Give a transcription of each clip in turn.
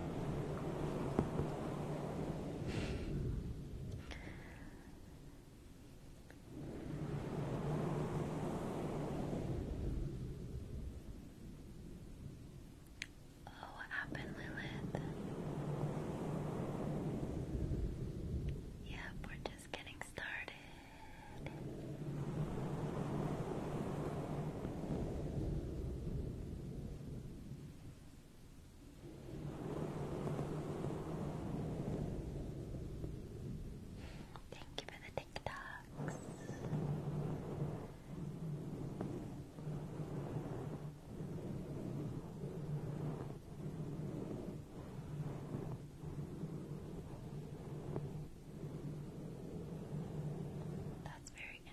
Oh, what happened, Lilith? Yep, we're just getting started. Thank you for the TikToks. That's very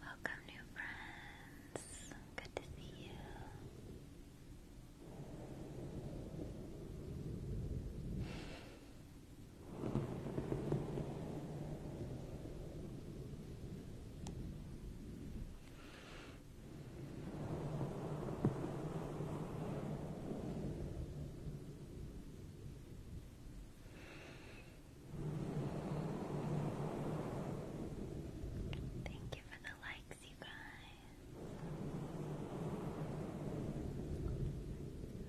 Welcome, new friends. Good to see you. Thank you for the likes, you guys.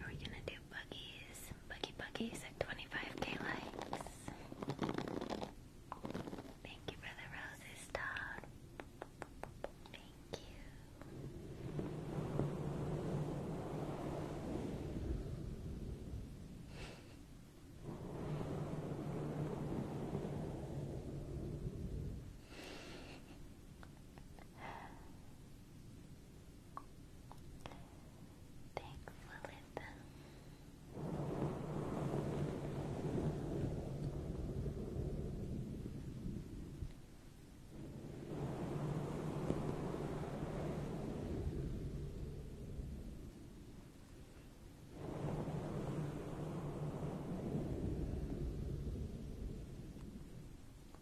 Are we gonna do buggies. Buggy buggies at 25k likes. Thank you for the roses, Todd. Thank you. Thanks, Lilith.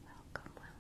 Welcome, welcome.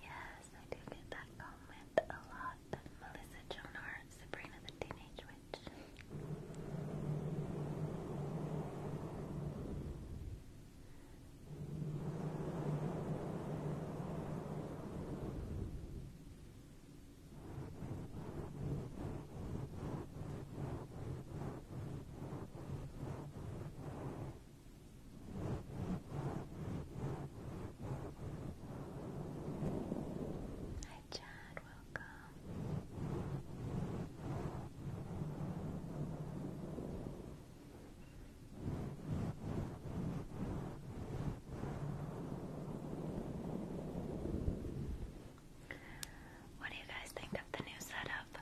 Yes, I do get that comment a lot. Melissa Joan Hart, Sabrina the Teenage Witch. Hi, Chad, welcome. What do you guys think of the new setup?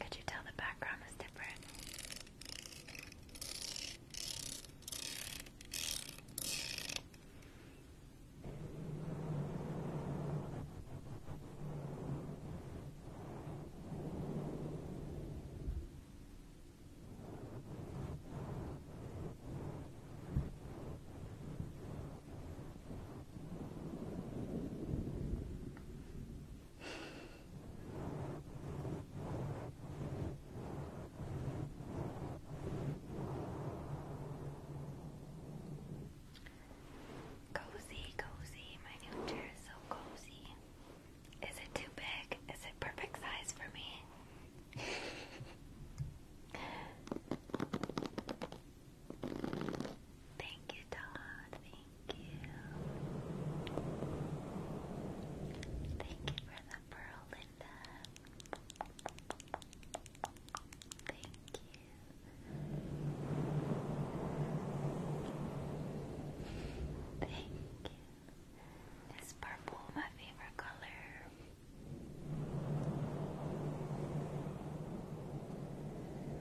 Could you tell the background is different? Cozy, cozy. My new chair is so cozy. Is it too big? Is it perfect size for me? Thank you, Todd. Thank you. Thank you for the pearl, Linda. Thank you. Thank you. Is purple my favorite color?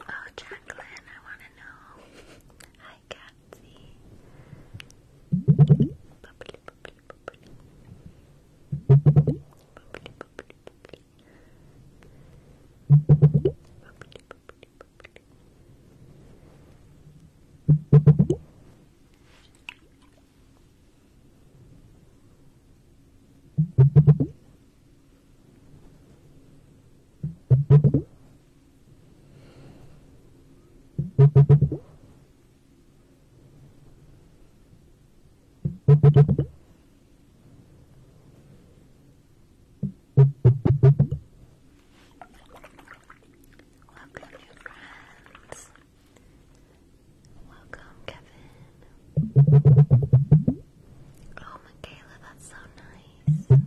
Oh, Jacqueline, I want to know. Hi, Catsy. Bubbly, bubbly, bubbly. Bubbly, bubbly, bubbly. Bubbly, bubbly, bubbly. Bubbly, Welcome, new friends. Welcome, Kevin. Oh, Michaela, that's so nice.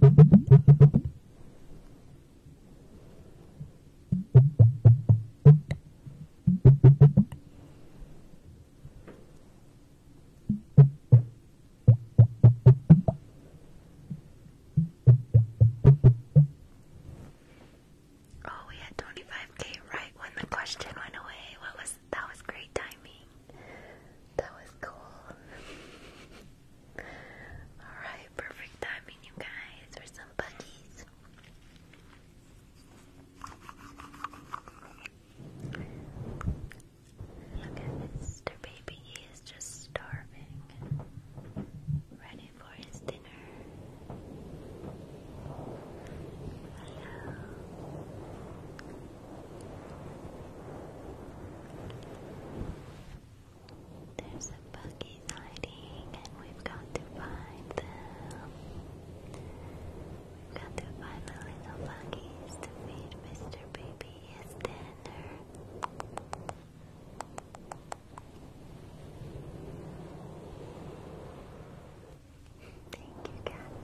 Oh, we had 25k right when the question went away. What was that was great timing. That was cool. Alright, perfect timing, you guys, for some buggies. Look at baby is just starving, ready for his dinner. Hello. There's a buggy hiding, and we've got to find them. We've got to find the little buggies to feed Mr. Baby his dinner. Thank you, Kathy.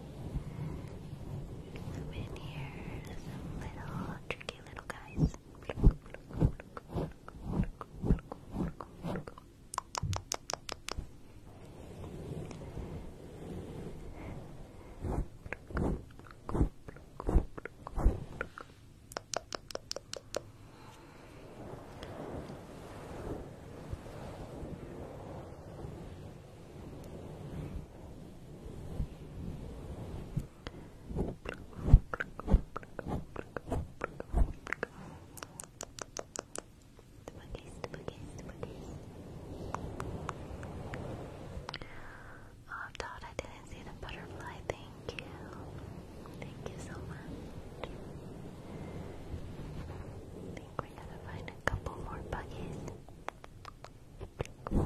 Some in here, some little tricky little guys. Good. Oh, Todd, I didn't see the butterfly. Thank you. Thank you so much. I think we're to find a couple more buggies. Yeah,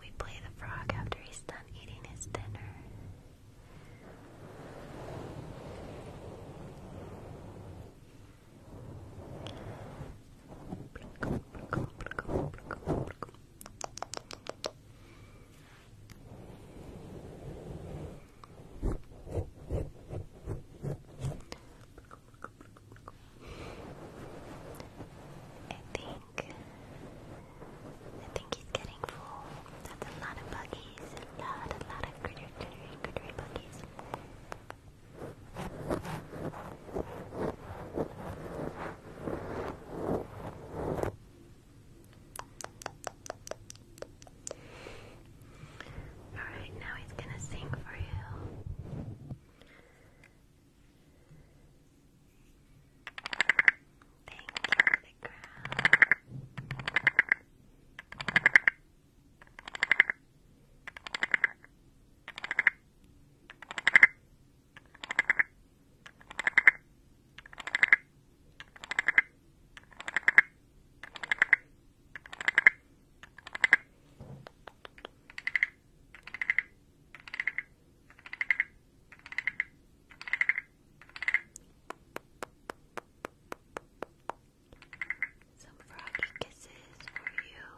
we play the frog after he's done eating his dinner think I think he's getting full. That's a lot of buggies. A lot, a lot of critter, critter, critter buggies. Alright, now he's gonna sing for you. Thank you for the some froggy kisses for you.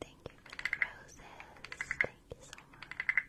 Thank you for the roses. Thank you so much.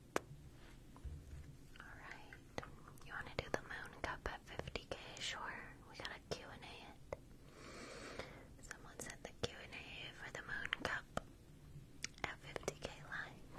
Alright. You wanna do the moon cup at 50k? Sure. We gotta Q&A it. Someone said the Q&A for the moon cup at 50k lines.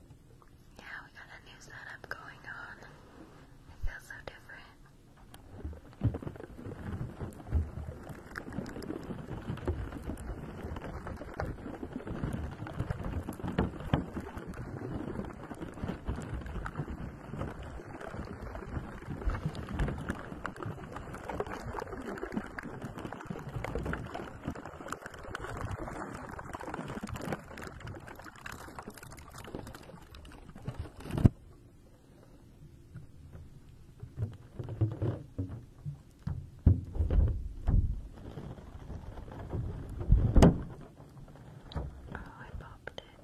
Yeah, we got a new setup going on. It feels so different. Oh, I popped it.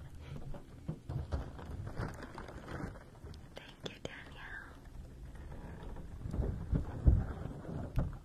Thank you, Danielle.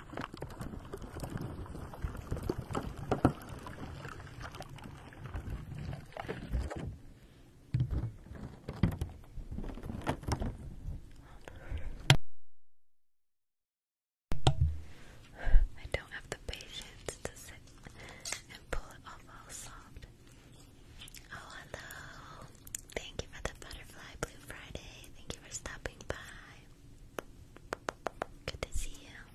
I don't have the patience to sit and pull it off all soft. Oh, hello. Thank you for the Butterfly Blue Friday. Thank you for stopping by. Good to see you.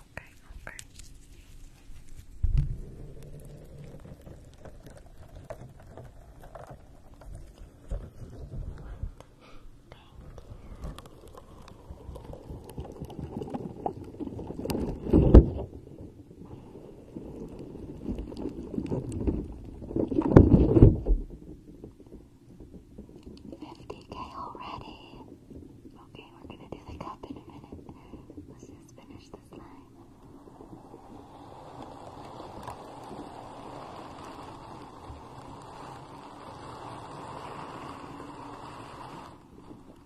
Okay, okay. Thank Fifty K already. Okay, we're gonna do the cup in a minute. Let's just finish this line.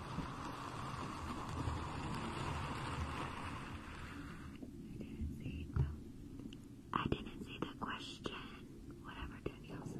didn't see the I didn't see the question. Whatever Danielle said.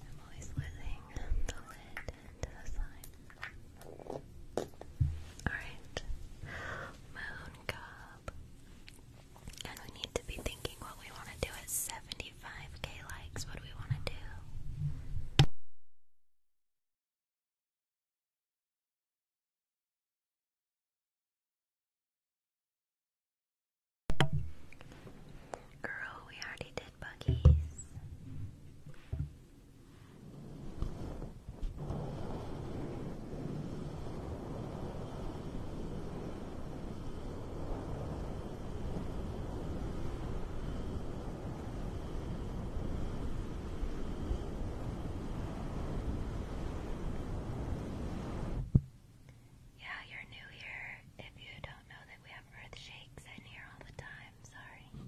I'm always losing the lid to the side. Alright. Moon Cub. And we need to be thinking what we want to do at 75k likes. What do we want to do? Girl, we already did buggies. Yeah, you're new here. If you don't know that we have earth shakes in here all the time, sorry.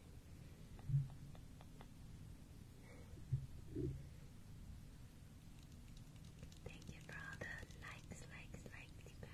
Thank you for all the likes, likes, likes, you guys.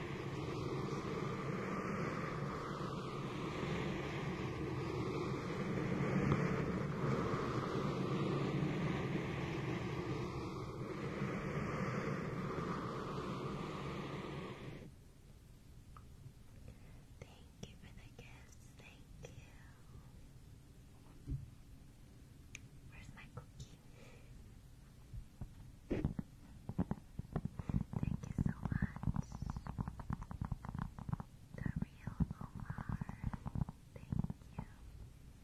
Thank you for the kiss. Thank you. Where's my cookie? Thank you so much. The real Omar. Thank you.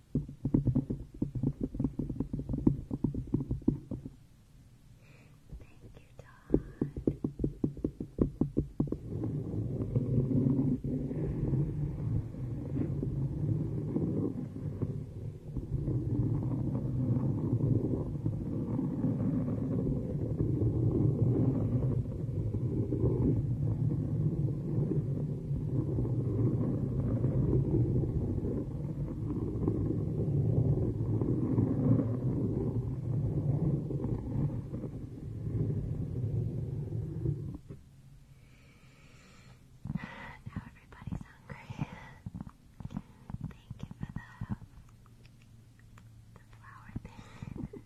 Thank you, Todd. Thank now everybody's hungry. Thank you for the the flower thing.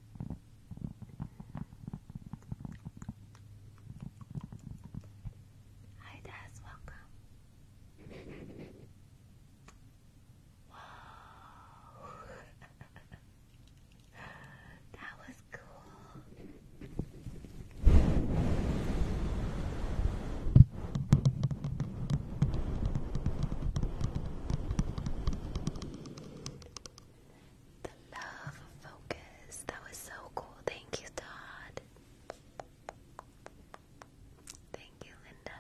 Hi Des, welcome. Whoa. that was cool. The love focus. That was so cool. Thank you, Todd. Thank you, Linda.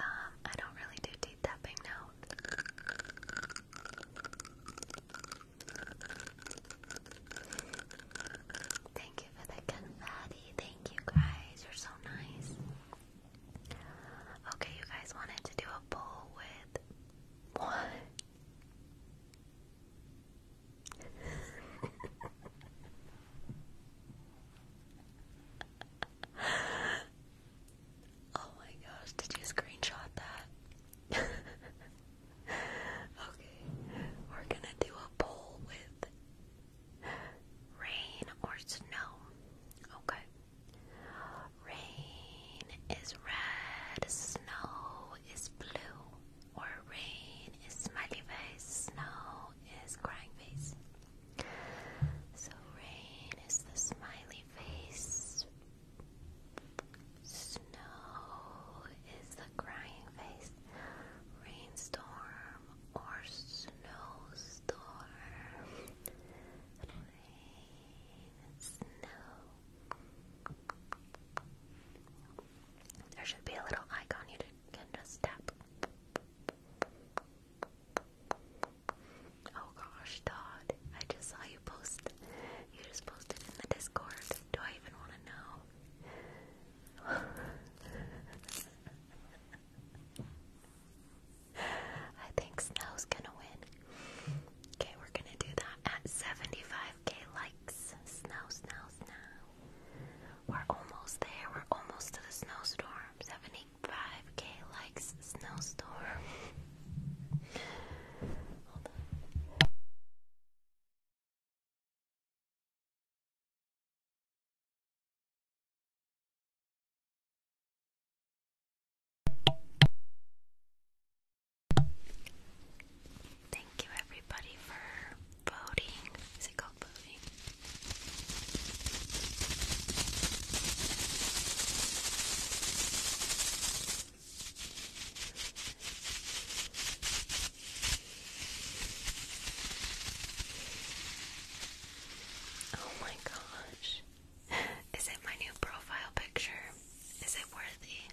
Um, I don't really do teeth tapping now. Thank you for the confetti. Thank you guys. You're so nice. Okay, you guys wanted to do a poll with what? oh my gosh, did you screenshot that? okay, we're gonna do a poll with rain or snow. Okay. Rain is red, snow is blue or rain is smiley face, snow is crying face. So rain is the smiley face, snow is the crying face, rainstorm or snowstorm. Rain snow. There should be a little icon you can just tap. Oh gosh, Todd, I just saw you post. You just posted in the Discord. Do I even want to know? I think Snow's gonna win. Okay, we're gonna do that at 75 5k likes. Snow, snow, snow. We're almost there. We're almost to the snowstorm. 75k likes. Snowstorm. Hold on. Thank you everybody for voting. Is it called voting? Oh my gosh. Is it my new profile picture? Is it worthy?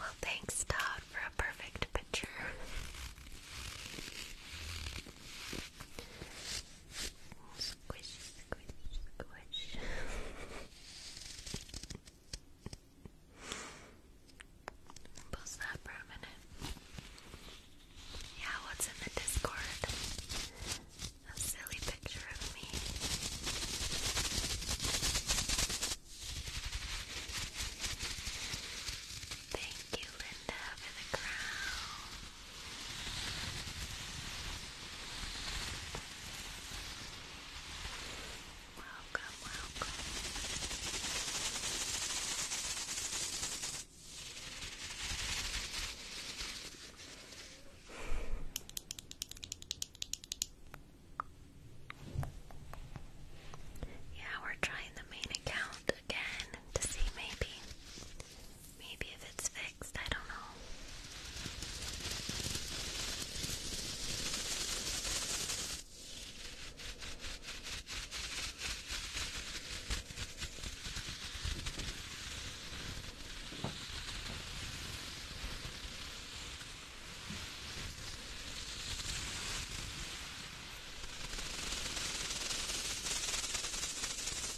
well, thanks, Todd, for a perfect picture. Squish, squish, squish. Post that for a minute. Yeah, what's in the Discord? A silly picture of me. Thank Thank you, Linda, for the crown. Welcome, welcome. Yeah, we're trying the main account again to see maybe Maybe if it's fixed, I don't know.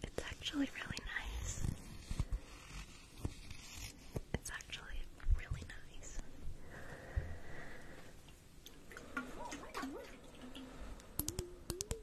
It's actually really nice. It's actually really nice. Oh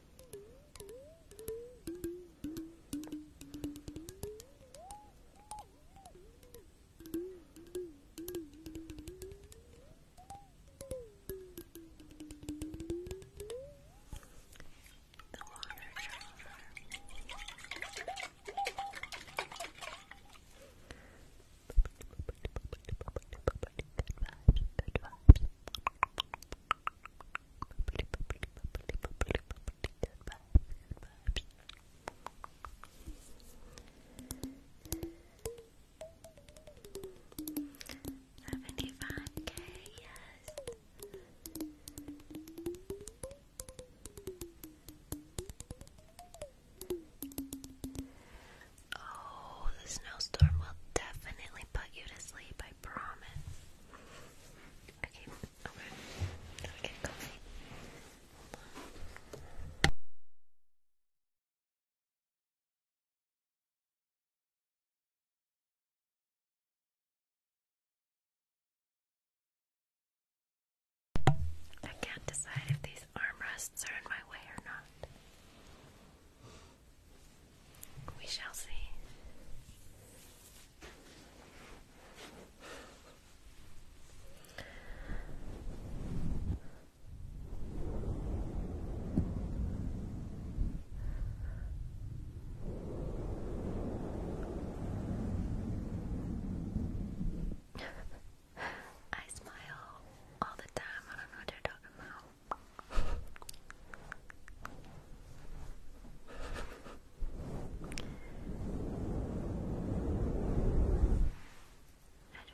The water shower. Good vibes, good vibes. 75k, yes. Oh, the snowstorm will definitely put you to sleep, I promise. Okay, okay. Now we on. I can't decide if these armrests are in my way or not. We shall see. I smile all the time. I don't know what you're talking about. I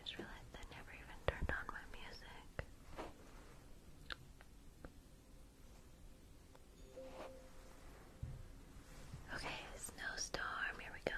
just realized I never even turned on my music. Okay, snowstorm, here we go.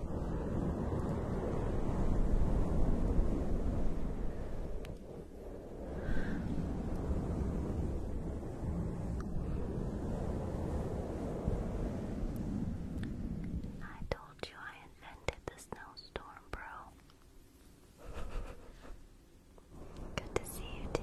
I told you I invented the snowstorm, bro. Good to see you too.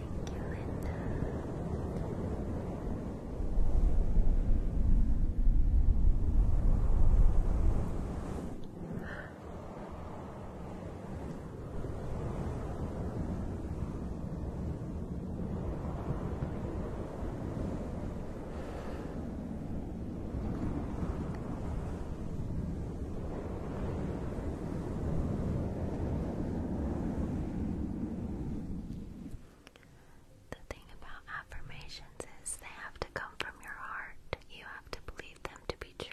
Thank you, Linda. The thing about affirmations is they have to come from your heart. You have to believe them to be true.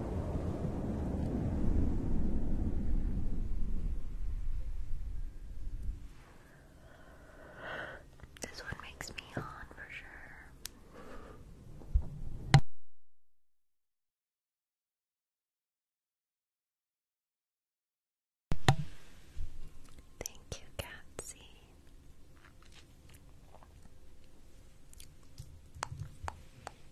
This one makes me on for sure. Thank you, Catsy.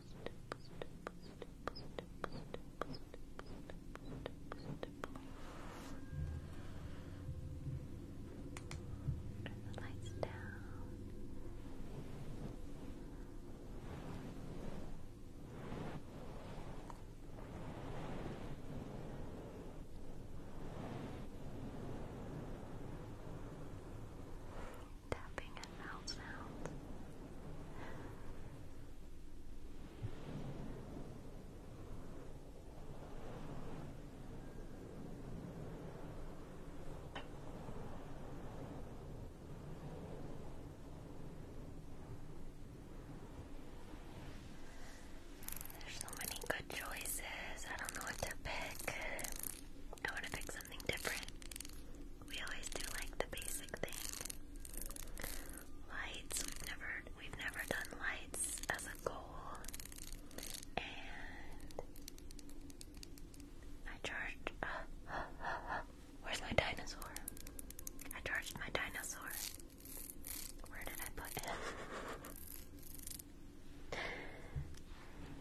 Turn the lights down tapping and mouth sounds. There's so many good choices. I don't know what to pick. I want to pick something different we always do like the basic thing. Lights, never we've never done lights as a goal. And I charged Where's my dinosaur? I charged my dinosaur. Where did I put it?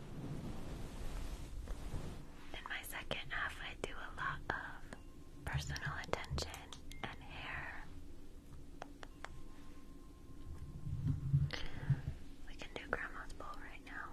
In my second half, I do a lot of personal attention and hair. We can do grandma's bowl right now.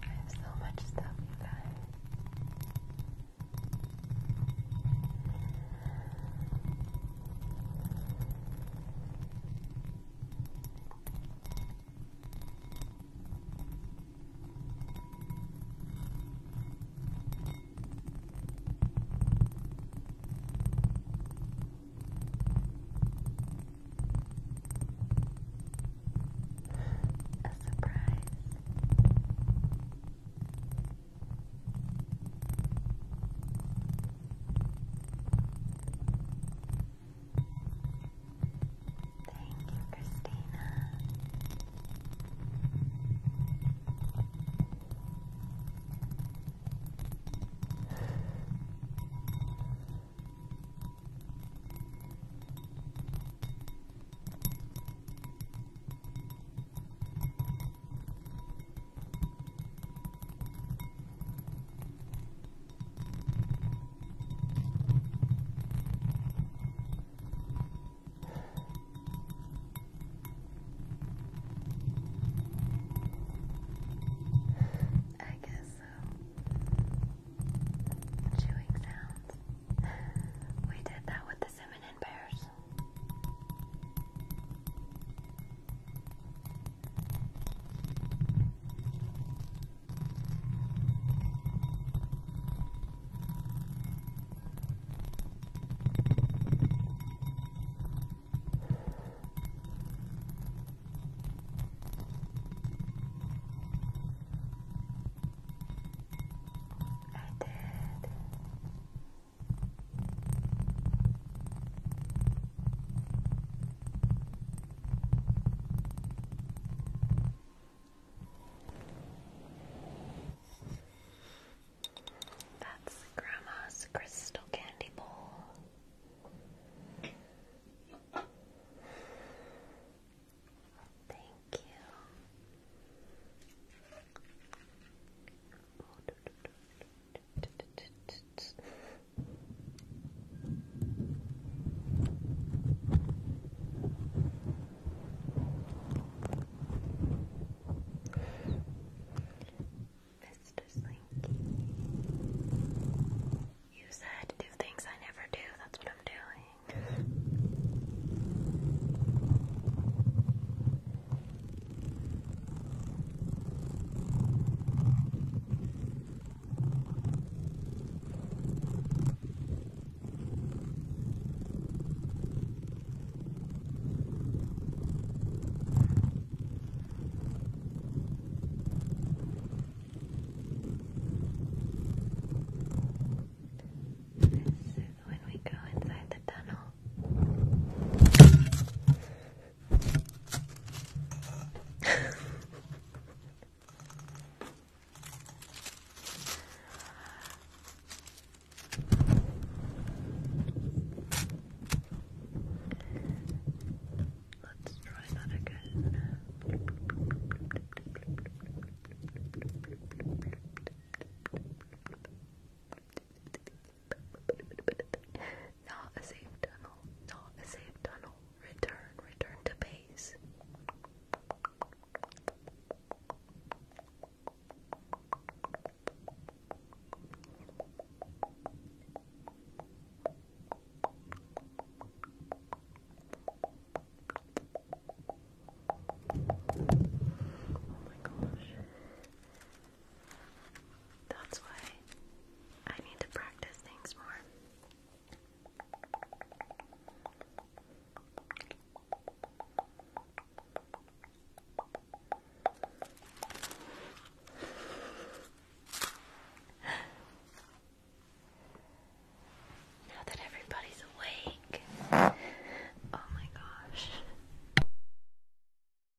I have so much stuff, you guys. A surprise. Thank you, Christina. I guess so. Chewing sounds. We did that with the feminine pairs. I did. That's Grandma's crystal candy bowl. Thank you. Mr. Slinky. You said do things I never do, that's what I'm doing. This is when we go inside the tunnel. Let's try that not a safe tunnel. Not a safe tunnel. Return. Return to base. Oh my gosh. That's why I need to practice things more. now that everybody's awake, oh my gosh.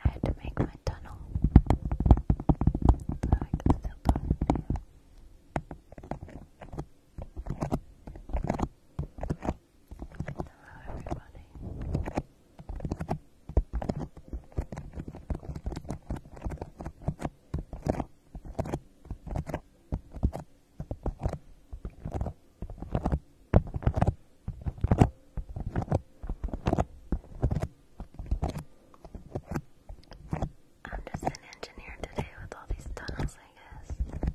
I had to make my tunnel. So I can still talk you everybody. I'm just an engineer today with all these tunnels, I guess.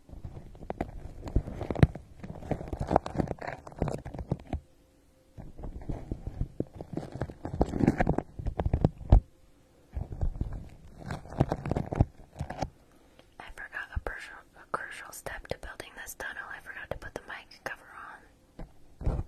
I forgot a crucial, step to building this tunnel. I forgot to put the mic cover on.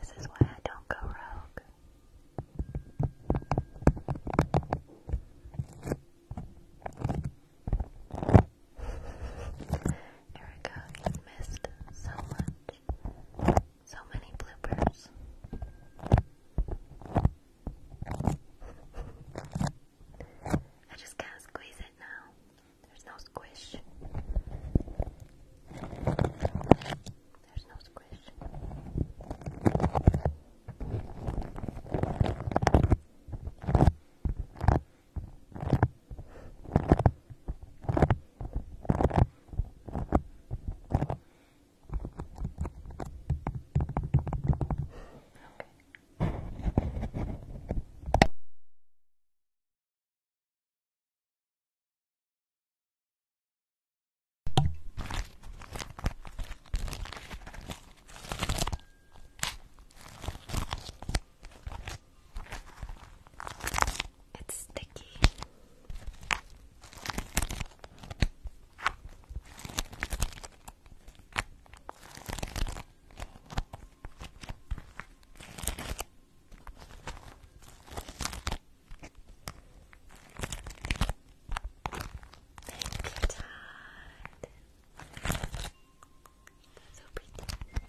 This is why I don't go rogue. Erica, you've missed so much. So many bloopers. I just can't squeeze it now. There's no squish. There's no squish. Okay. It's sticky. Thank you, Todd. So pretty. No.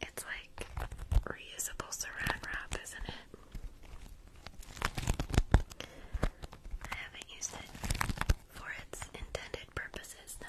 It's like reusable wrap, isn't it? I haven't used it for its intended purposes, though.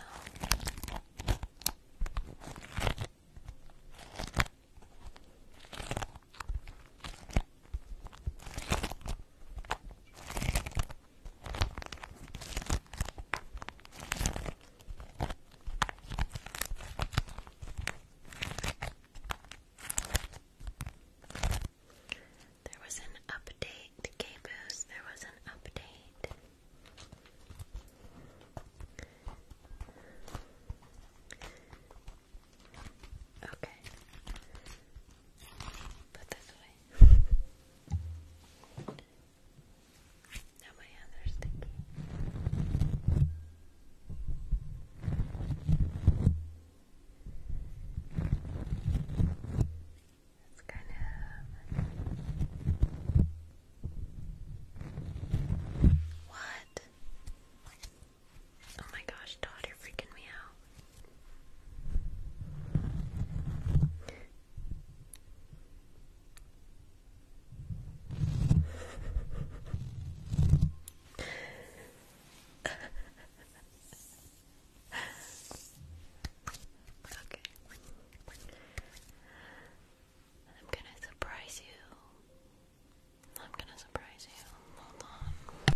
There was an update, Caboose. There was an update. Okay. Put this away. now my hands are sticky. It's kind of what? Oh my gosh, Todd, you're freaking me out. okay. I'm gonna surprise you. I'm gonna surprise you. Hold on.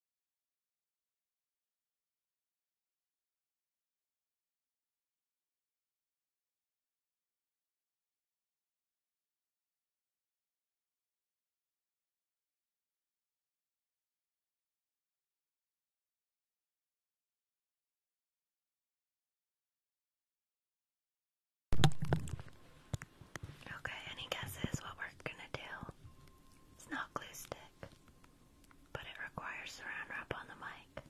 Okay, any guesses what we're gonna do? It's not glue stick but it requires surround wrap on the mic.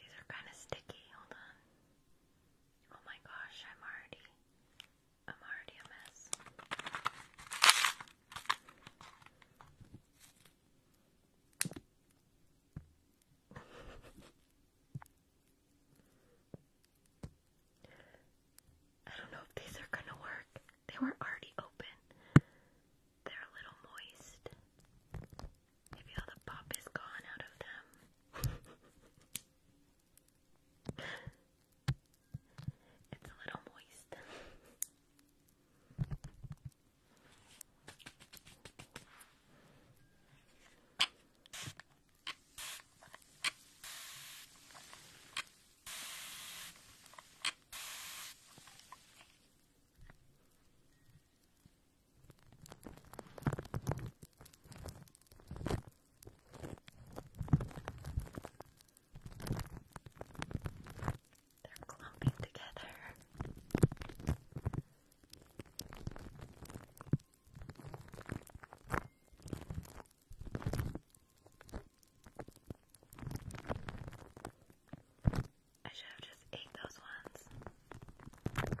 These are kind of sticky. Hold on. Oh my gosh, I'm already I'm already a mess. I don't know if these are going to work. They were already open. They're a little moist. I feel the pop is gone out of them. it's a little moist. They're clumping together. I should have just ate those ones.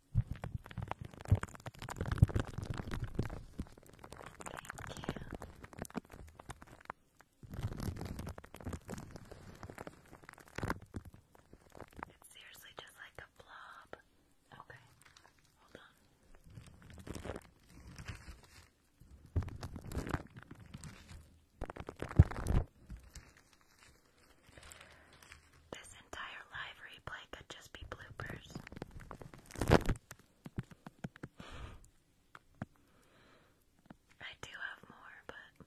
It's seriously just like a blob. Okay, hold on. This entire live play could just be bloopers. I do have more, but.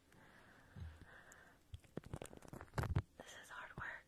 This is hard work.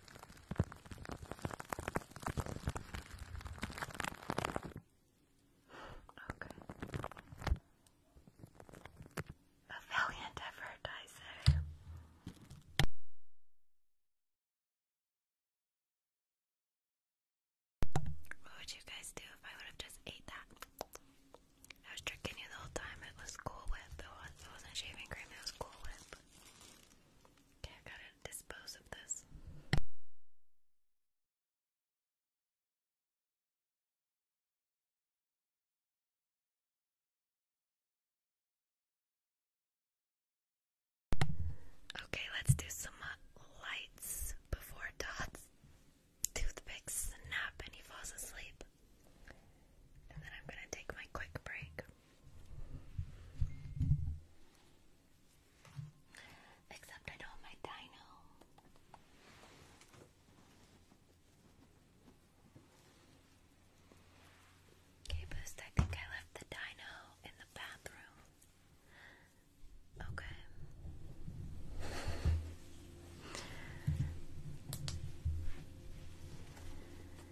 Okay. A valiant effort, I say. What would you guys do if I would have just ate that? I was tricking you the whole time. It was cool with the was, it wasn't shaving cream. It was cool with. Okay, I gotta dispose of this. Okay, let's do some uh, lights before Dot's toothpick snap and he falls asleep. And then I'm going to take my quick break. Except I don't have my dino. Okay, Boost, I think I left the dino in the bathroom. Okay.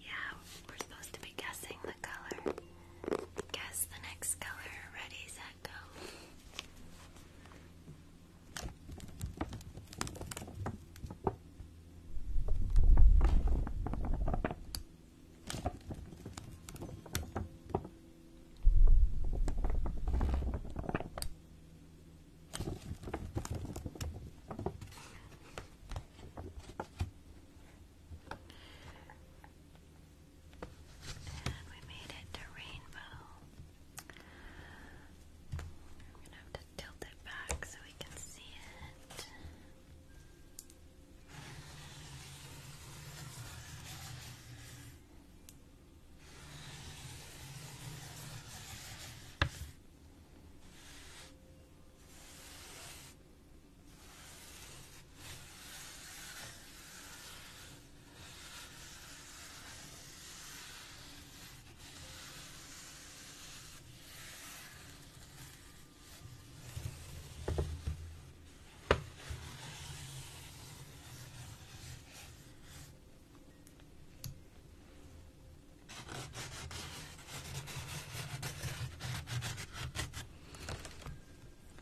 Yeah, we're supposed to be guessing the color. Guess the next color. Ready, set, go. And we made it to Rainbow. I'm gonna have to tilt it back so we can see it.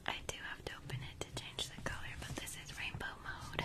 I do have to open it to change the color, but this is rainbow mode.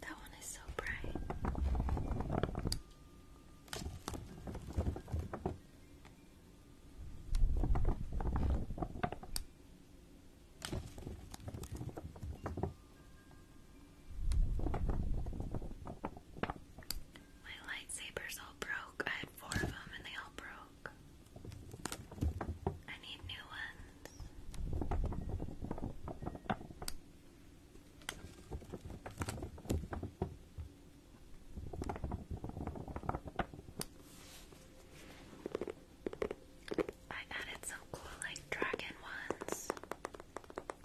That one is so bright. My lightsabers all broke. I had four of them and they all broke. I need new ones. I added some cool like dragon ones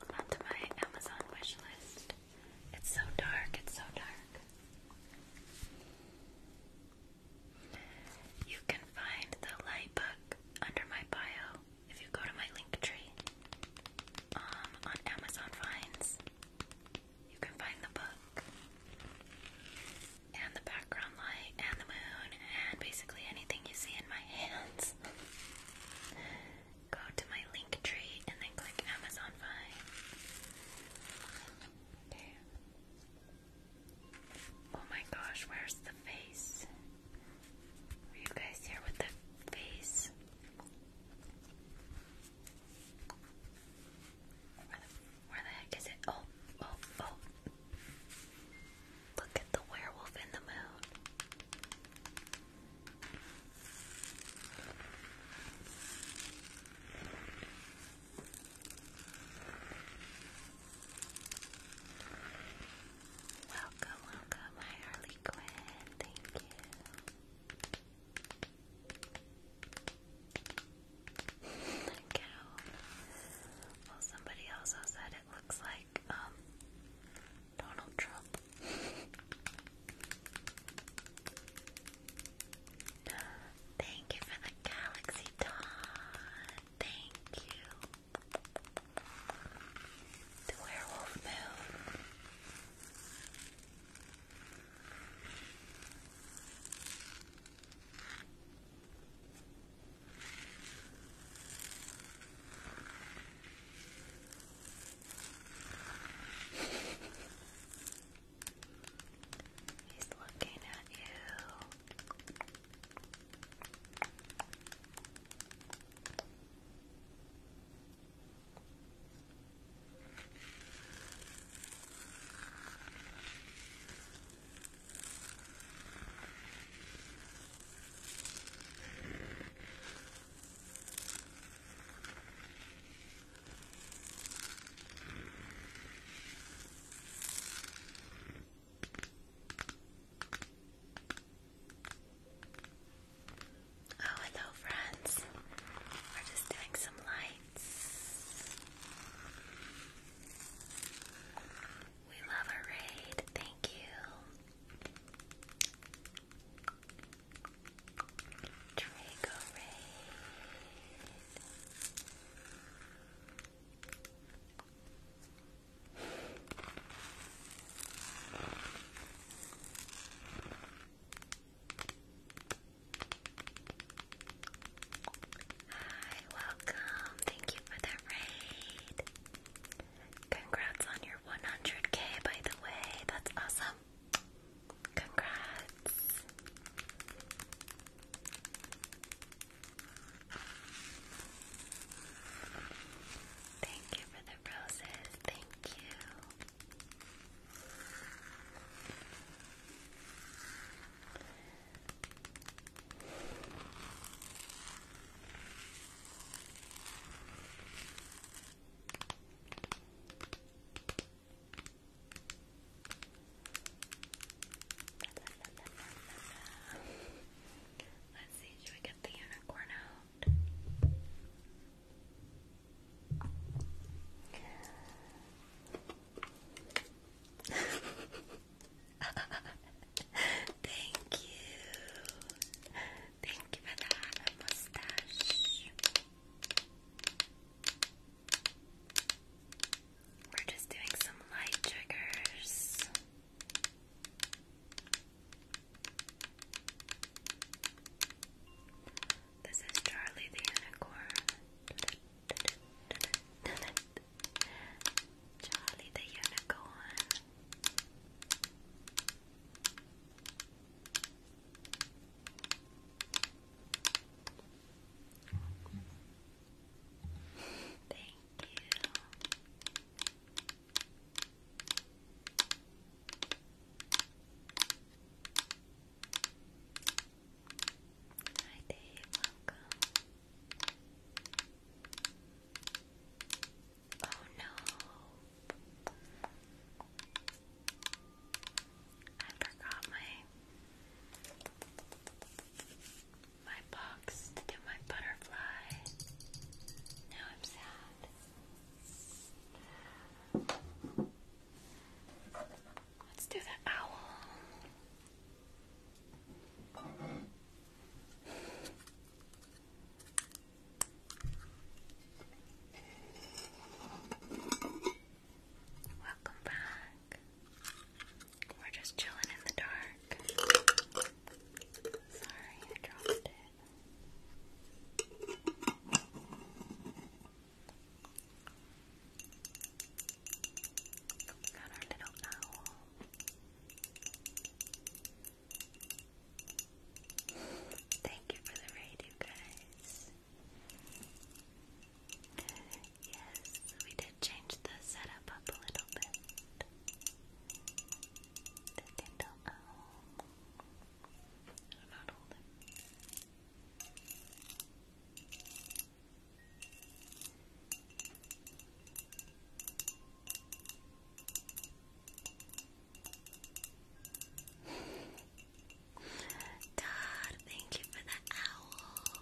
onto my Amazon wish It's so dark, it's so dark. You can find the light book under my bio if you go to my link tree um, on Amazon Finds. You can find the book and the background light and the moon and basically anything you see in my hands. Go to my link tree and then click Amazon Vine. Okay. Oh my gosh, where's the face? Are you guys here with the face? Where the, heck is it? Oh, oh, oh. Look at the werewolf in the moon. Welcome, welcome, my Harley Quinn. Thank you. Well, somebody also said it looks like um, Donald Trump. Thank you for the galaxy Todd. Thank you. The werewolf moon. He's looking at you. Oh, hello, friends. We're just doing some lights. We love a raid. Thank you. Draco raid. Hi, welcome. Thank you for the raid. Congrats on your 100k, by the way. That's awesome. Congrats. Thank you for the roses. Thank you. Let's see, should we get the unicorn out? Thank you. Thank you for that mustache. We're just doing some light triggers. This is Charlie the Unicorn. Charlie the Unicorn. Thank you. Hi Dave, welcome. Oh no. I forgot my my box to do my butterfly. Now I'm sad. Let's do the owl. Welcome back. We're just chilling in the dark. Sorry, I dropped it. Got our little owl. Thank you for the raid, you guys. Yes, we did change the setup up a little bit. Oh. The Dindle Owl. I'm not holding. Todd, thank you for the owl.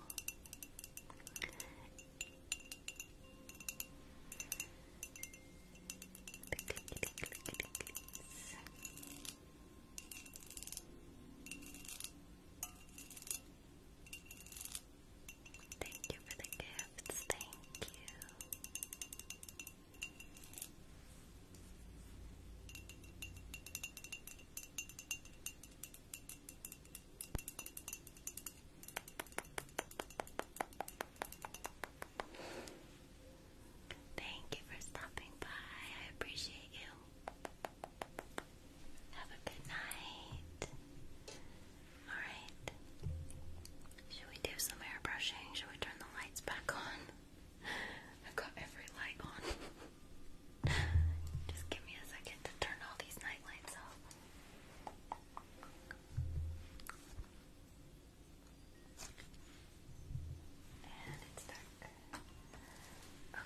Thank you for the gifts. Thank you. Thank you for stopping by. I appreciate you. Have a good night. Alright. Should we do some airbrushing? Should we turn the lights back on? i got every light on. Just give me a second to turn all these night off. And it's dark.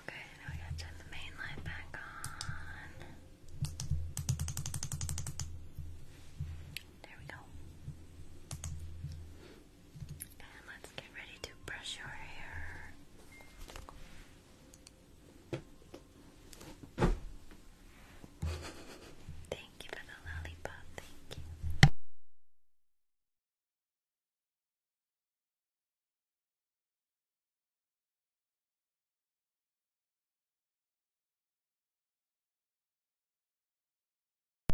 Okay, now we gotta turn the main light back on. There we go. And let's get ready to brush your hair. Thank you for the lollipop. Thank you.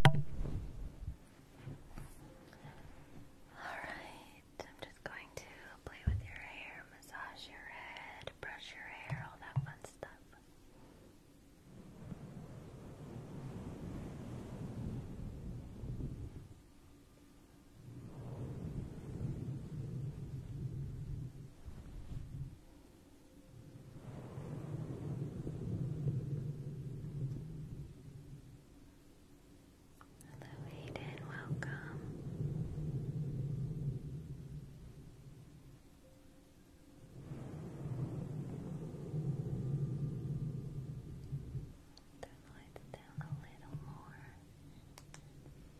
Alright, I'm just going to play with your hair, massage your head, brush your hair, all that fun stuff. Hello, Aiden, welcome. Turn the lights down a little more.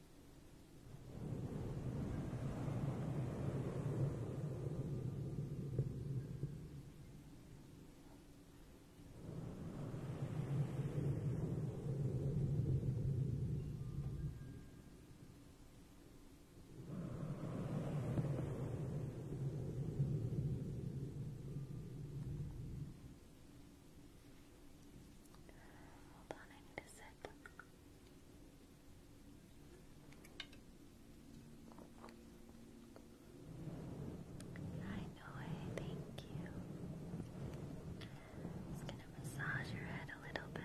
Hold on, I need a sec. I know thank you. Just gonna massage your head a little bit.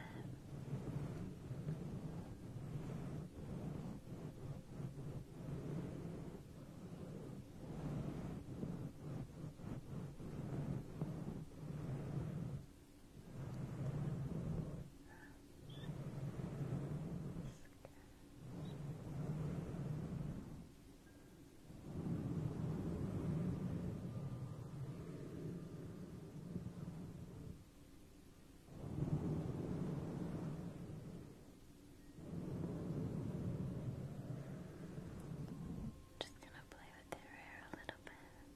Just gonna play with their hair a little bit.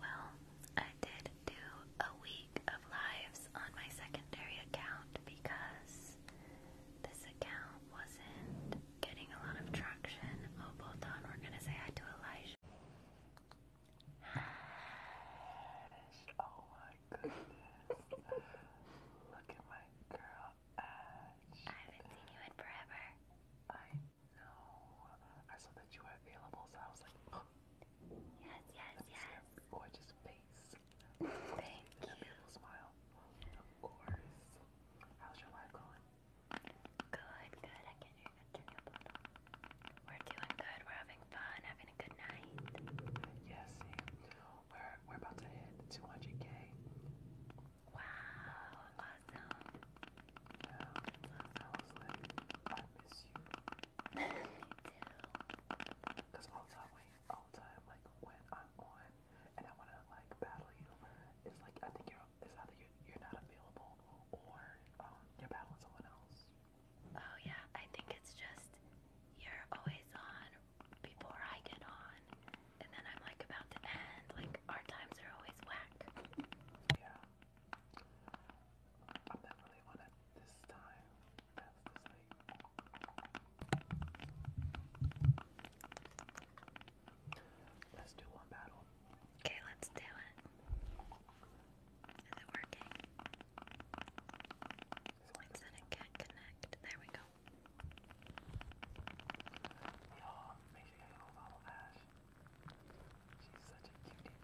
Well, I did do a week of lives on my secondary account because this account wasn't getting a lot of traction. Oh, both on, we're gonna say hi to Elijah. Oh I haven't seen you in forever. I know. I saw that you were available, so I was like, Yes, yes, yes. gorgeous face. Thank you. beautiful smile. Of course. How's your life going? Good, good. I can't hear that. Turn We're doing good. We're having fun. Having a good night. Yes, we're, we're about to hit 200k. Wow, awesome. I was like, I miss you. Because all time, all time, like, when I'm on and I want to, like, battle you, it's like, I think you're, it's either you you're not available or um, you're battling someone else. Oh, yeah, I think it's just you're always on before I get on, and then I'm like about to end. Like our times are always whack. Yeah. I'm not really on it this time. Let's do one battle. Okay, let's do it. Is it working? Why is it can't connect? There we go. Y'all, make sure you go follow Ash. She's such a cutie.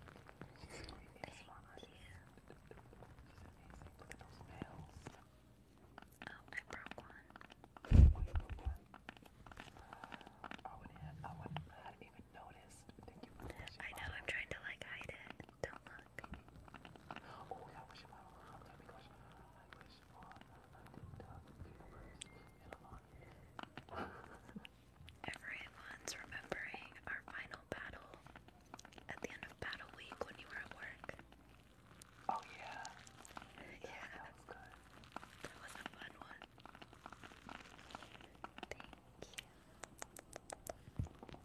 She's a amazing. Look at those nails. Oh, I broke one. Oh, broke one? I wouldn't I wouldn't have even noticed. Thank you for I know, I'm trying to like hide it. Don't look. Oh, uh, uh, Everyone's remembering our final battle at the end of battle week when you were at work. Oh Yeah. yeah. That was good. That was a fun one. Thank you.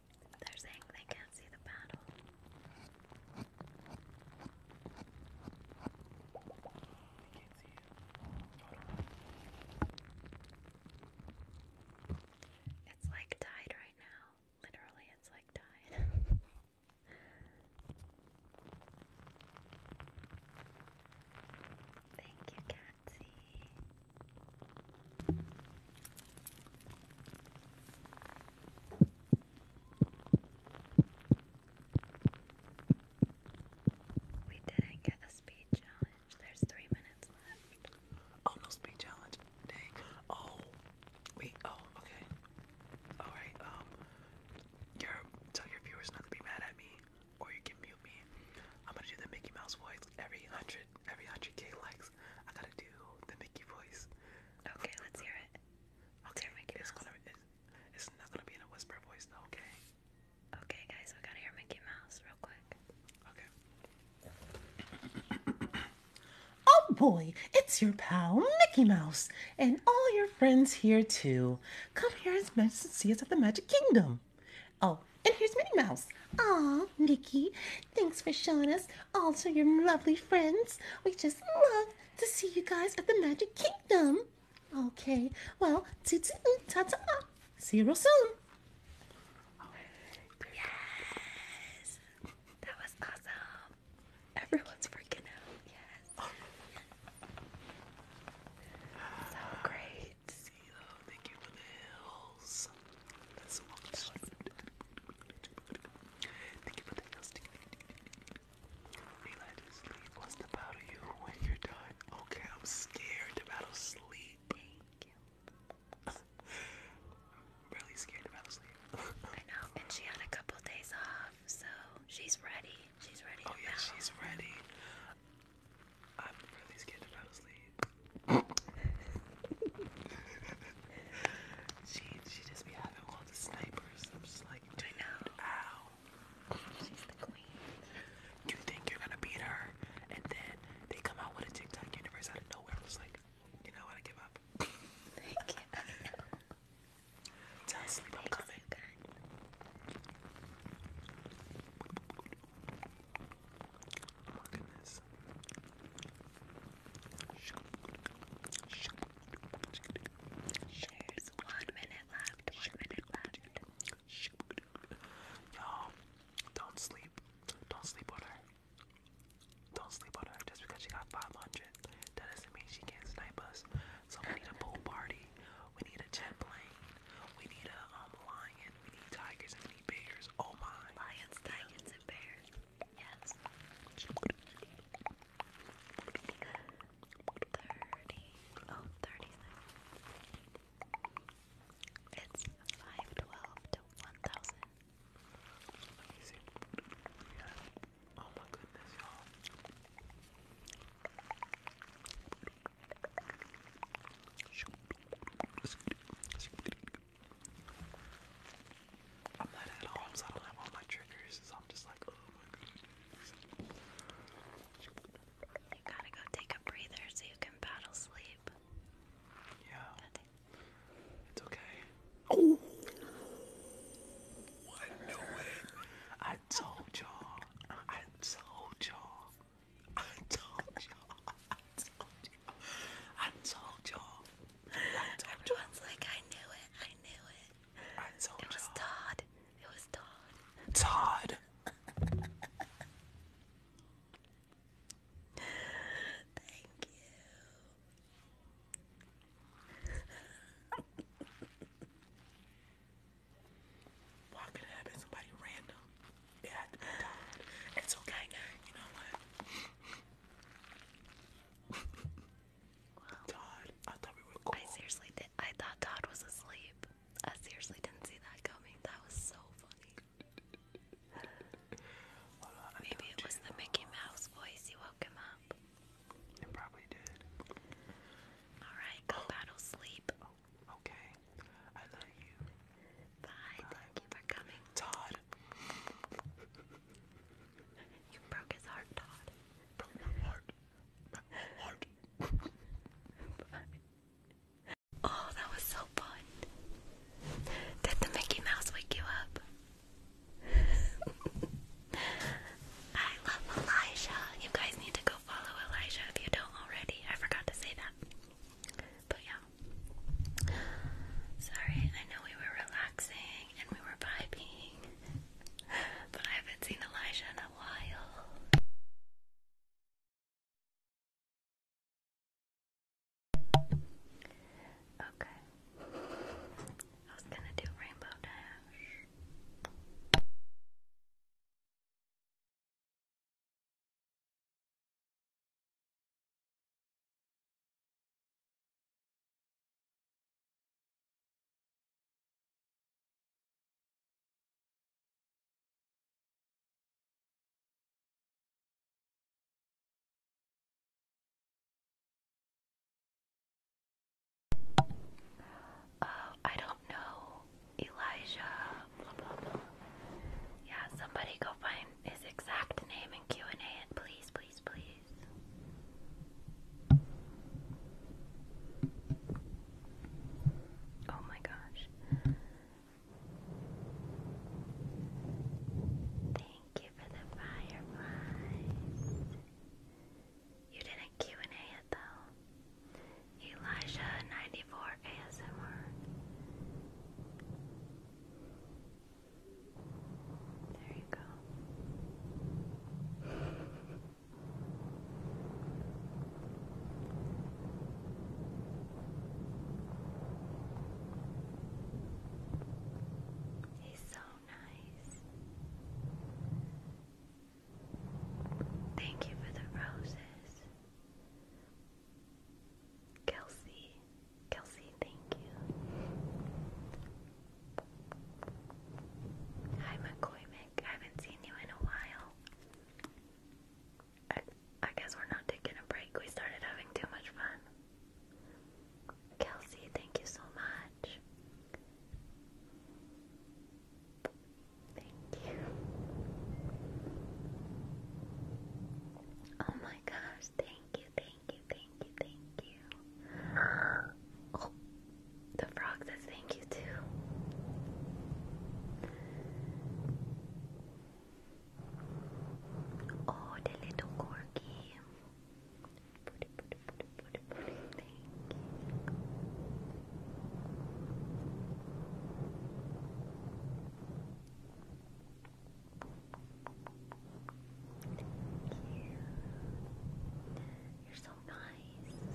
They're saying they can't see the battle. It's like tied right now. Literally, it's like tied. Thank you, Catsy. We didn't get a speed challenge. There's three minutes left. Oh, no speed challenge. Dang. Oh, wait. Oh, okay. All right. Um, tell your viewers not to be mad at me, or you can mute me. I'm gonna do the Mickey Mouse voice every hundred every hundred K likes, I gotta do the Mickey voice. Okay, let's hear it. Okay, Mickey it's gonna it's, not gonna be in a whisper voice though. Okay. Okay, guys, we gotta hear Mickey Mouse real quick. Okay. oh boy, it's your pal Mickey Mouse, and all your friends here too. Come here and see us at the Magic Kingdom. Oh, and here's Minnie Mouse. Aw, Mickey, thanks for showing us also your lovely friends. We just love to see you guys at the Magic Kingdom. Okay, well, toot toot, See you real soon. Yes, that was awesome. Everyone's freaking out. Yes, oh. so great. That's so Okay, I'm scared about sleep. really scared about sleep. I know, and she had a couple days off, so she's ready. She's ready. Oh yeah, she's ready. I'm really scared about sleep she she just be having all the snipers. I'm just like, dude, I know. Ow. She's the queen. You think you're gonna beat her, and then they come out with a TikTok universe out of nowhere. I am just like, you know what? I give up. Thank you. I Tell coming. Oh my goodness. There's one minute left. One minute left. Y'all, don't sleep. Don't sleep on her. Don't sleep on her. Just because she got 500, that doesn't mean she can't snipe us. So we need a pool party. We need a jet plane. We need a um, lion. We need tigers and we need bears. Oh my. Lions, tigers, and bears. Yes. Thirty. Oh, thirty-six. It's five twelve to one thousand. Oh my goodness, y'all. I'm not at home, so I don't have all my triggers, so I'm just like, oh my goodness. You gotta go take a breather so you can battle sleep. Yeah. It's okay. Oh! What? No I told y'all. I told y'all. I told y'all. I told you. I told you. Everyone's like, I knew it. I knew it. I told you. It was Todd. It was Todd. Todd. Thank you. Why could it somebody random? It It's okay. You know what? Wow. Todd, I thought we seriously did. I thought Todd was asleep. I seriously didn't see that coming. That was so funny. Maybe it was the Mickey Mouse voice. You woke him up. It probably did. All right, go oh. battle sleep. Oh, okay. I love you. Bye. Thank you for coming. Todd. You broke his heart, Todd. Broke my heart. oh, that was so fun. Did the Mickey Mouse wake you up? I love Elijah. You guys need to go follow Elijah if you don't already. I forgot to say that. But yeah. Sorry, I know we were relaxing and we were vibing, but I haven't seen Elijah in a while. Okay. I was gonna do Rainbow Dash. Uh, I don't know. Elijah, Yeah, somebody go find his exact name in Q&A, please, please, please. Oh my gosh. Thank you for the fireflies. You did a and a though. Elijah94 ASMR. There you go. He's so nice. Thank you for the roses. Kelsey. Kelsey, thank you. Hi, McCoymick. I haven't seen you in a while. I guess we're not taking a break. We started having too much fun. Kelsey, thank you so much. Thank you. Oh my gosh, thank you, thank you, thank you, thank you. the frog says thank you too. Oh, the little corgi. Thank you. Cute. You're so nice.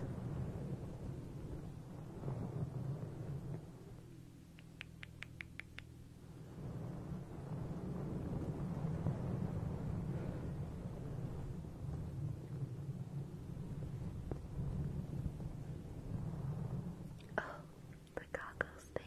Oh, the goggles thank you.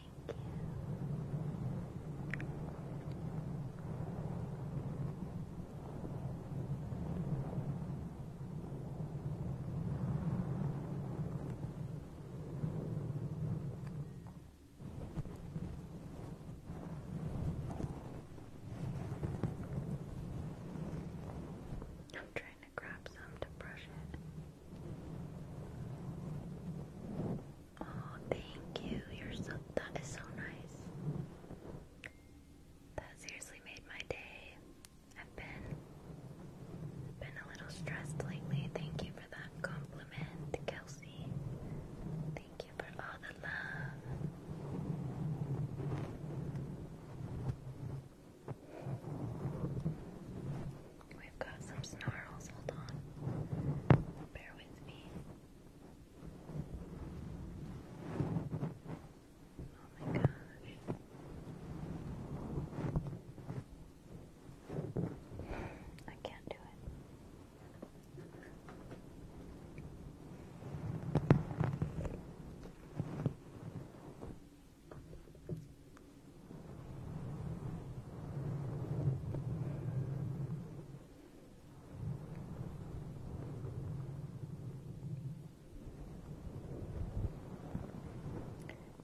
I'm trying to grab some to brush it. Oh, thank you. You're so that is so nice. That seriously made my day. I've been been a little stressed lately. Thank you for that compliment, Kelsey. Thank you for all the love i have got some snarls. Hold on. Bear with me. Oh my gosh. I can't do it.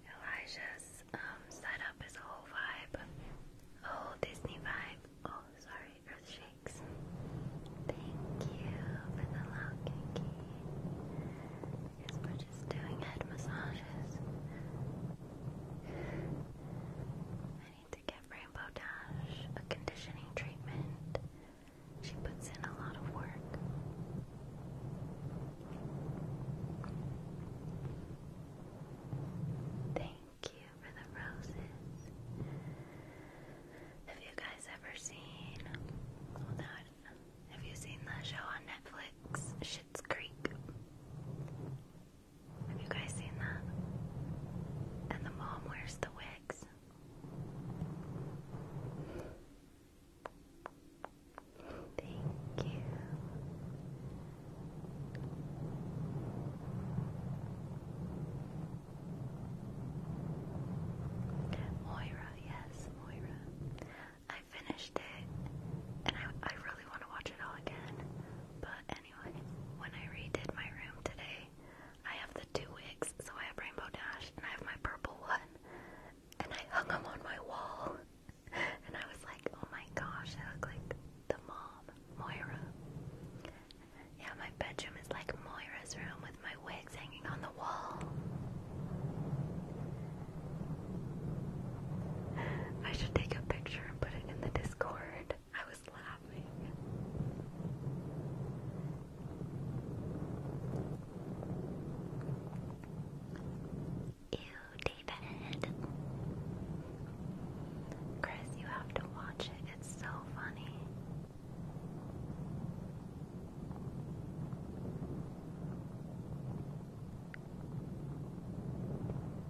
Elijah's um, setup is a whole vibe, a whole Disney vibe. Oh, sorry, Earth shakes. Thank you for the love, Kinky. Yes, we're just doing head massages to give Rainbow Dash a conditioning treatment. She puts in a lot of work. Thank you for the roses. Have you guys ever seen? Have you seen the show on Netflix, Schitt's Creek? Have you guys seen that? And the mom wears the wigs. Thank you. Moira, yes, Moira. I finished it and I, I really want to watch it all again, but when I redid my room today, I have the two wigs, so I have Rainbow Dash and I have my purple one, and I hung them on my wall, and I was like, oh my gosh, I look like the mom, Moira. Yeah, my bedroom is like Moira's room with my wigs hanging on the wall. I should take a picture and put it in the Discord. I was laughing. Ew, David. Chris, you have to watch it. It's so funny.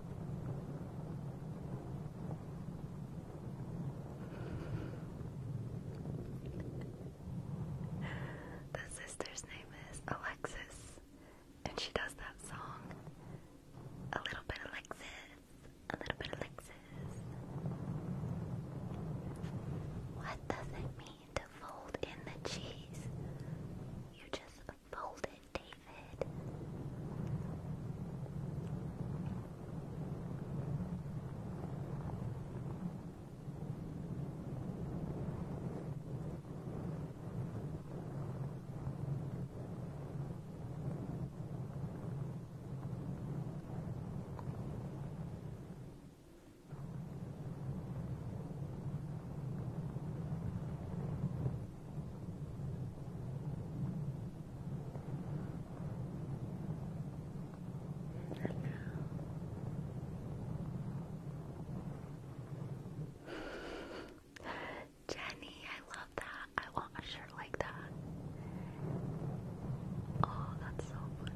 The sister's name is Alexis, and she does that song. A little bit Alexis, a little bit Alexis. What does it mean to fold in the cheese? You just Hold it, David. Jenny, I love that. I want a shirt like that. Oh, that's so funny.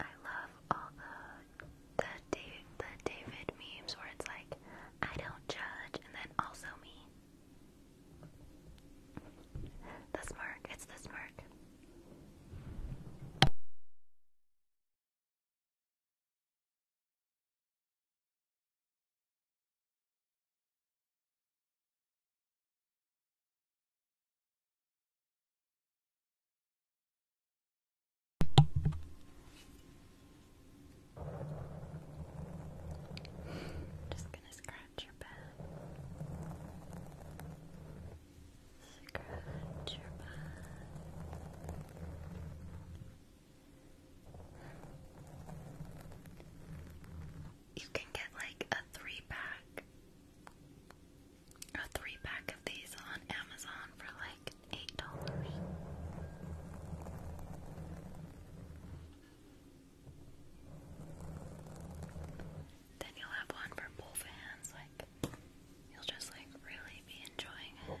I love all the the David, memes where it's like, I don't judge, and then also me. The smirk, it's the smirk. Just gonna scratch your back. Scratch your back. You can get like a three pack a three pack of these on Amazon for like eight dollars. Then you'll have one for both hands, like you'll just like really be enjoying it.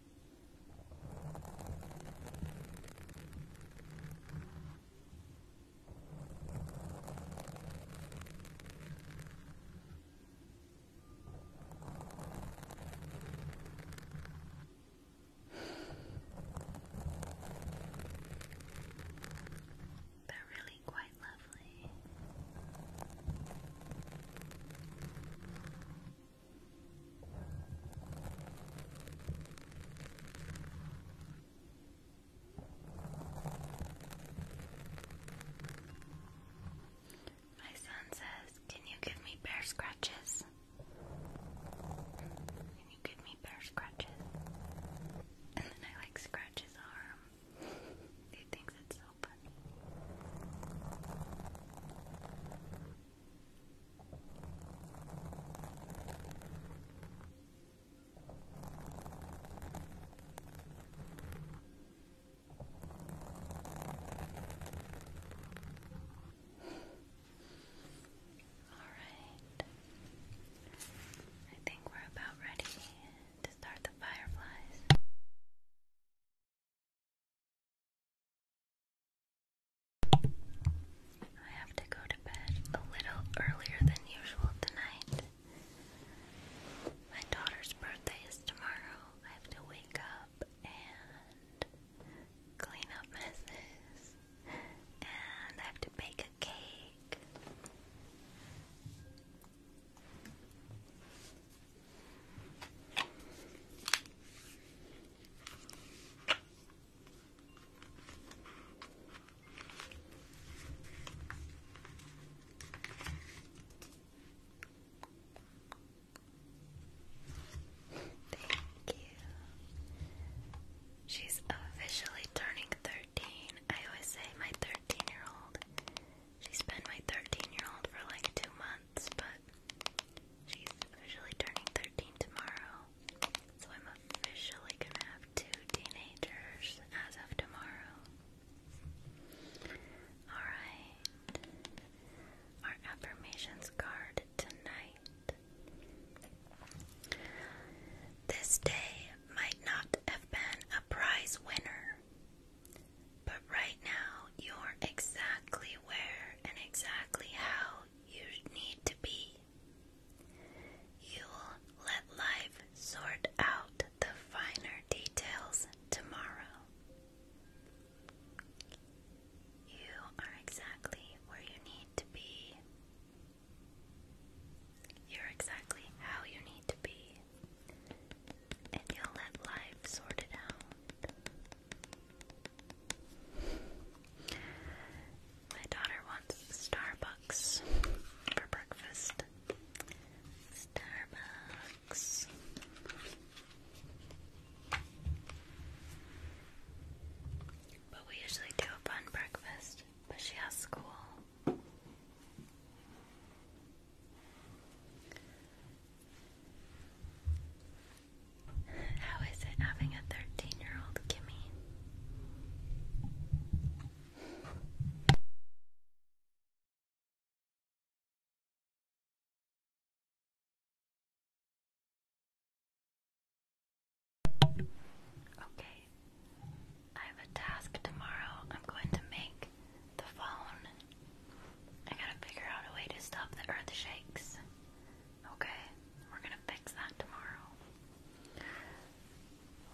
They're really quite lovely. My son says, Can you give me bear scratches? Can you give me bear scratches? And then I like scratch his arm. he thinks it's so funny. All right. I think we're about ready to start the fireflies. I have to go to bed a little earlier than usual tonight. My daughter's birthday is tomorrow. I have to wake up and clean up messes, and I have to bake a cake. Thank you. She's officially turning 13. I always say my 13 year old. She's been my 13 year old for like two months but she's officially turning 13 tomorrow. So I'm officially gonna have two teenagers as of tomorrow. Alright. Our affirmations card tonight. This day might not have been a prize winner. But right now, you're exactly where and exactly how you need to be. You'll let life sort out the finer details tomorrow. You are exactly where you need to be. You're exactly how you need to be. And you'll let life sort it out. My daughter wants Starbucks for breakfast. Starbucks. But we usually do a fun breakfast, but she has school. How is it having a 13 year old Kimmy? Okay, I have a task tomorrow. I'm going to make the phone I gotta figure out a way to stop the earth shakes. Okay, we're gonna fix that tomorrow.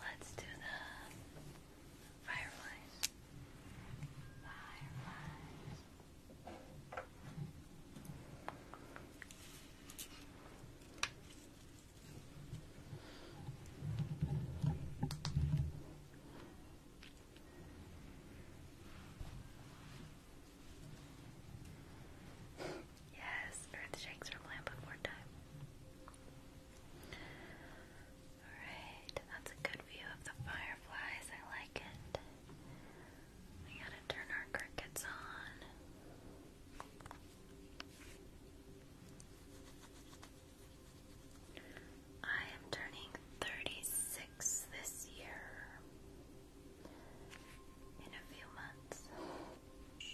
Let's do the fireflies. Yes, Earth shakes from land before time. Alright, that's a good view of the fireflies. I like it. We gotta turn our crickets on. I am turning 36 this year in a few months. Is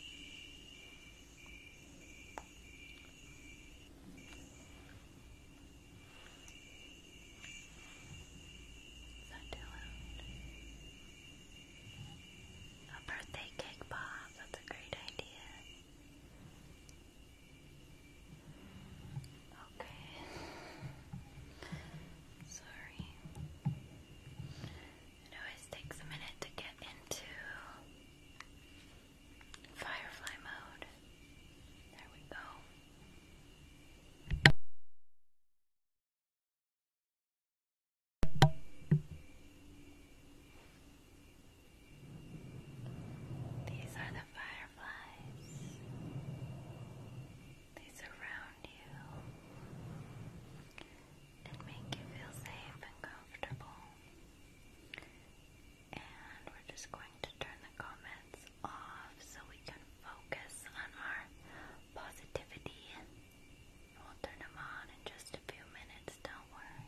too loud? A birthday cake pop, that's a great idea. Okay. Sorry. It always takes a minute to get into firefly mode. There we go. These are the fireflies. They surround you and make you feel safe and comfortable. And we're just going to turn the comments off so we can focus on our positivity. We'll turn them on in just a few minutes, don't worry.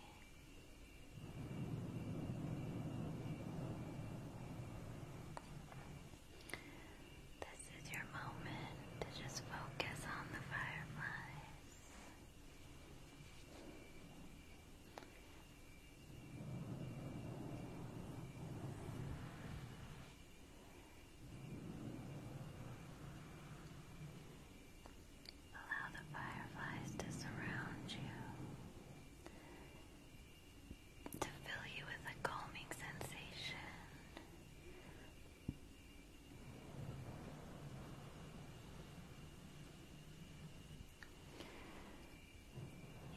This is your moment to just focus on the fireflies. Allow the fireflies to surround you to fill you with a calming sensation.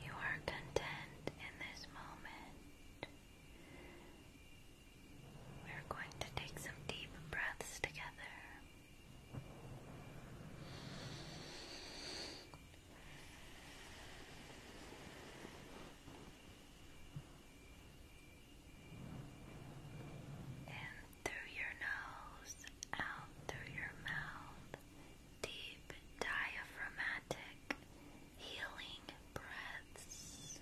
You are content in this moment. We're going to take some deep breaths together. In through your nose, out through your mouth, deep diaphragmatic healing breaths.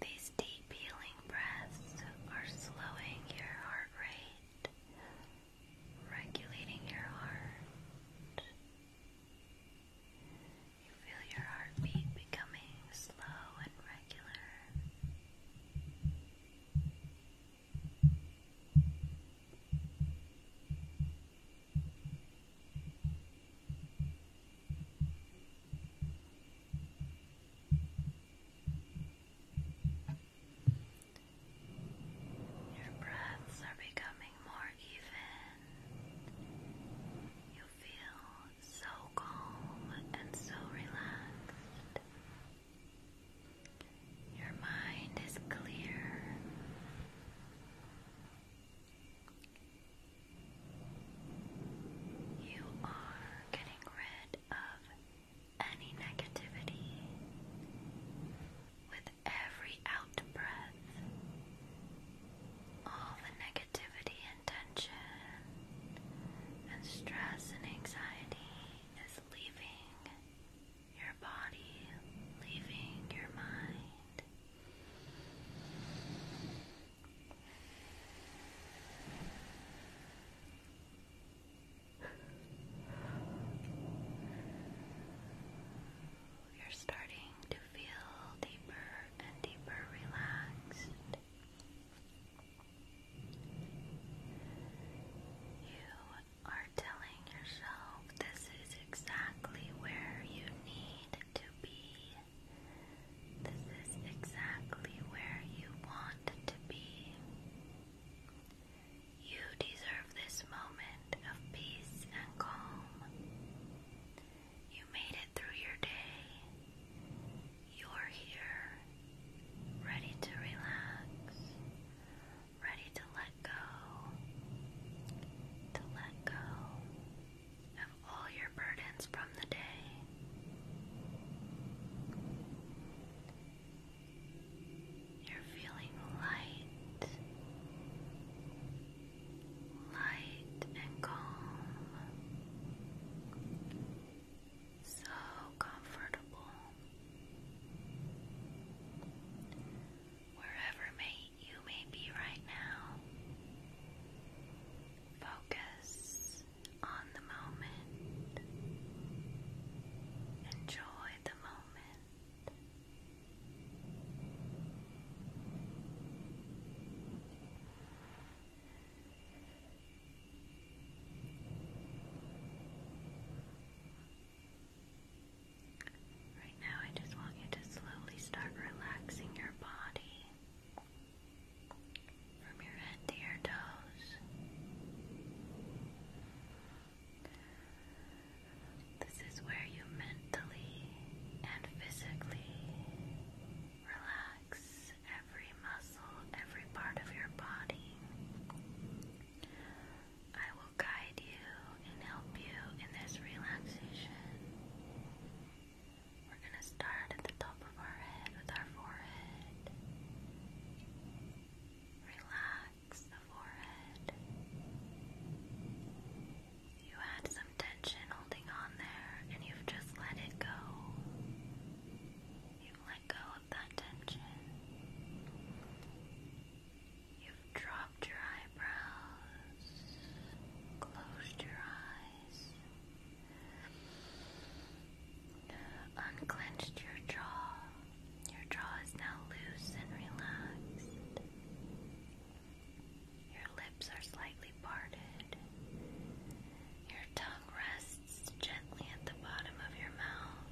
These deep healing breaths are slowing your heart rate, regulating your heart. You feel your heartbeat becoming slow and regular regular. Your breaths are becoming more even. You feel so calm and so relaxed. Your mind is clear. You are getting rid of any negativity with every out breath. All the negativity and tension and stress and anxiety is leaving your body, leaving your mind. You're starting to feel deeper and deeper relaxed. You are telling yourself this is exactly where you need to be. This is exactly where you want to be. You deserve this moment of peace and calm. You made it through your day. You're here, ready to relax, ready to let go, to let go of all your burdens from the day. You're feeling light, light and calm so comfortable. Wherever may you may be right now, focus on the moment. Enjoy the moment. Right now, I just want you to slowly start relaxing your body from your head to your toes. This is where you mentally and physically relax every muscle, every part of your body. I will guide you and help you in this relaxation. We're going to start at the top of our head with our forehead. Relax the forehead. You had some tension holding on there, and you've just let it go let go of that tension. You've dropped your eyebrows, closed your eyes, unclenched your jaw. Your jaw is now loose and relaxed. Your lips are slightly parted. Your tongue rests gently at the bottom of your mouth.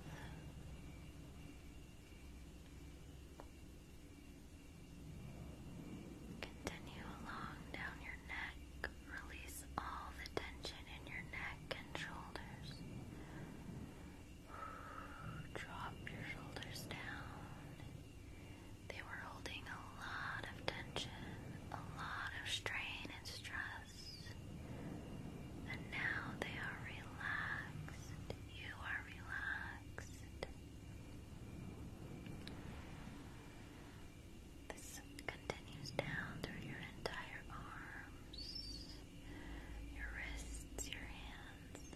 Continue along down your neck. Release all the tension in your neck and shoulders. Drop your shoulders down. They were holding a lot of tension, a lot of strain and stress. And now they are relaxed. You are relaxed. This continues down through your entire arms, your wrists, your hands.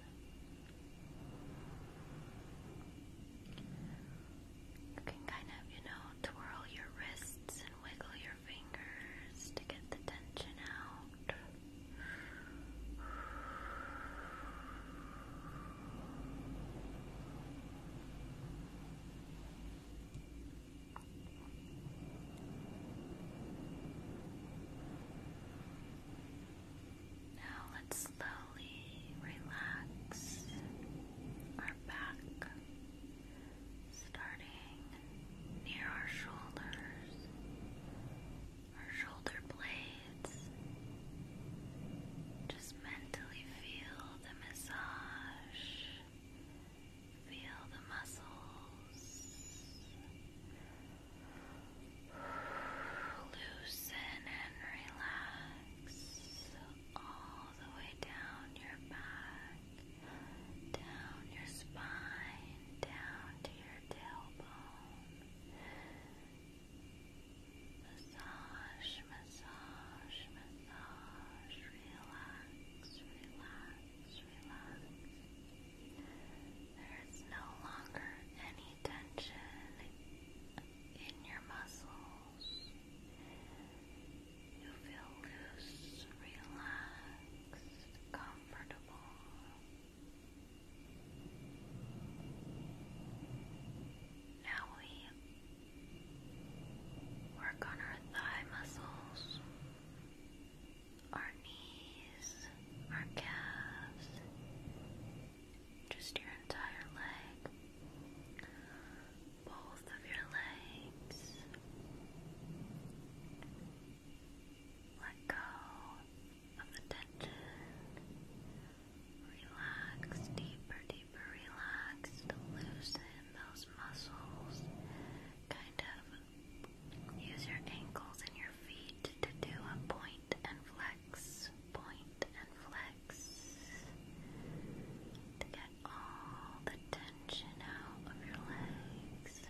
You can kind of, you know, twirl your wrists and wiggle your fingers to get the tension out. Now let's slowly relax our back starting near our shoulders, our shoulder blades. Just mentally feel the massage, feel the muscles loosen and relax all the way down your back down your spine, down to your tailbone. Massage, massage, massage, relax, relax, relax. There is no longer any tension in your muscles. You feel loose, relaxed, comfortable. Now we work on our thigh muscles, our knees, our calves, just your entire leg both of your legs. Let go of the tension. Relax, deeper, deeper, relax. Loosen those muscles. Kind of use your ankles and your feet to do a point and flex, point and flex all the tension out of your legs.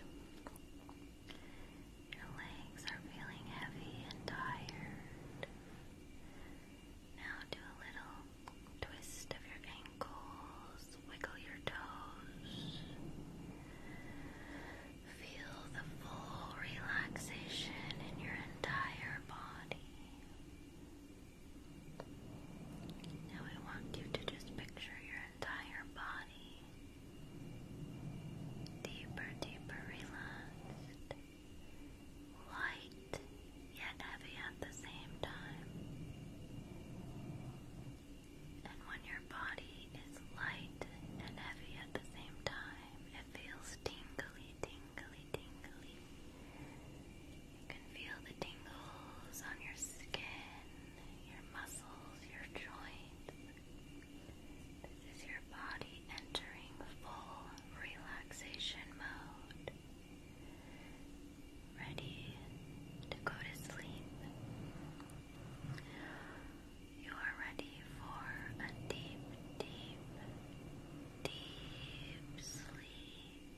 Your legs are feeling heavy and tired. Now do a little twist of your ankles, wiggle your toes. Feel the full relaxation in your entire body. Now I want you to just picture your entire body deeper, deeper relaxed, light yet heavy at the same time. And when your body is light and heavy at the same time, it feels tingly, tingly, tingly. You can feel the tingles on your skin, your muscles, your joints. This is your body entering full relaxation mode, ready to go to sleep. You are ready for a deep, deep, deep sleep.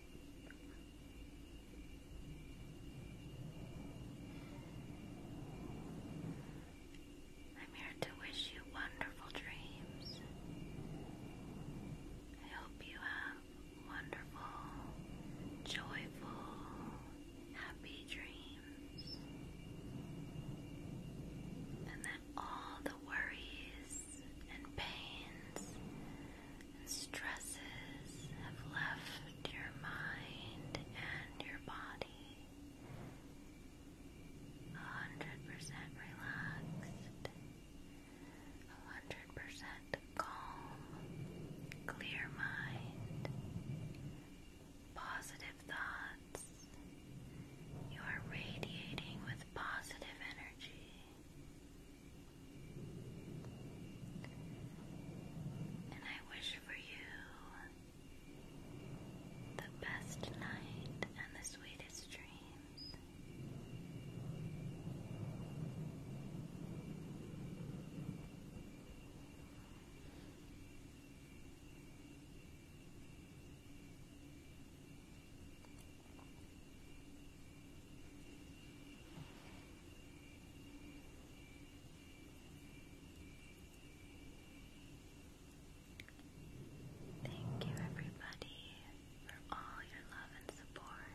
I'm here to wish you wonderful dreams. I hope you have wonderful, joyful, happy dreams. And that all the worries and pains Stresses have left your mind and your body 100% relaxed, 100% calm, clear mind, positive thoughts. You are radiating with positive energy. And I wish for you the best night and the sweetest dreams. Thank you, everybody, for all your love and support.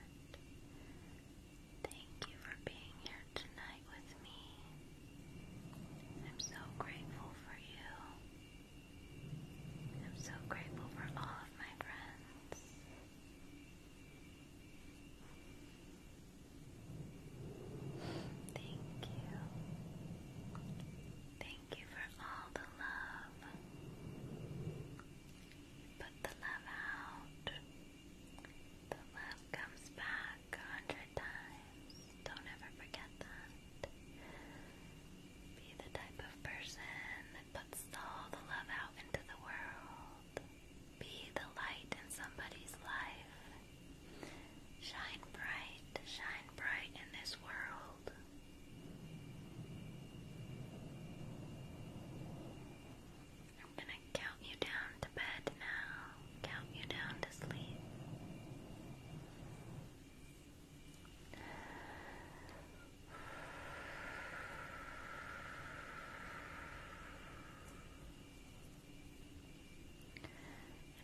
Thank you for being here tonight with me. I'm so grateful for you. I'm so grateful for all of my friends. Thank you. Thank you for all the love. Put the love out. The love comes back a hundred times. Don't ever forget that. Be the type of person that puts all the love out into the world. Be the light in somebody's life. Shine bright, shine bright in this world. I'm gonna count you down to bed now, count you down to sleep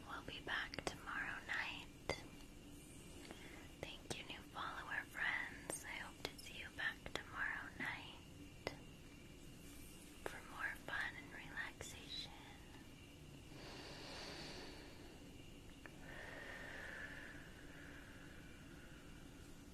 we'll be back tomorrow night. Thank you, new follower friends. I hope to see you back tomorrow night for more fun and relaxation.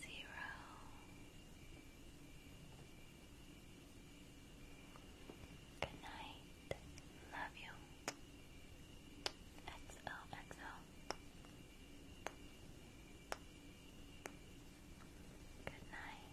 zero. Good night. Love you. XO, XO. Good night.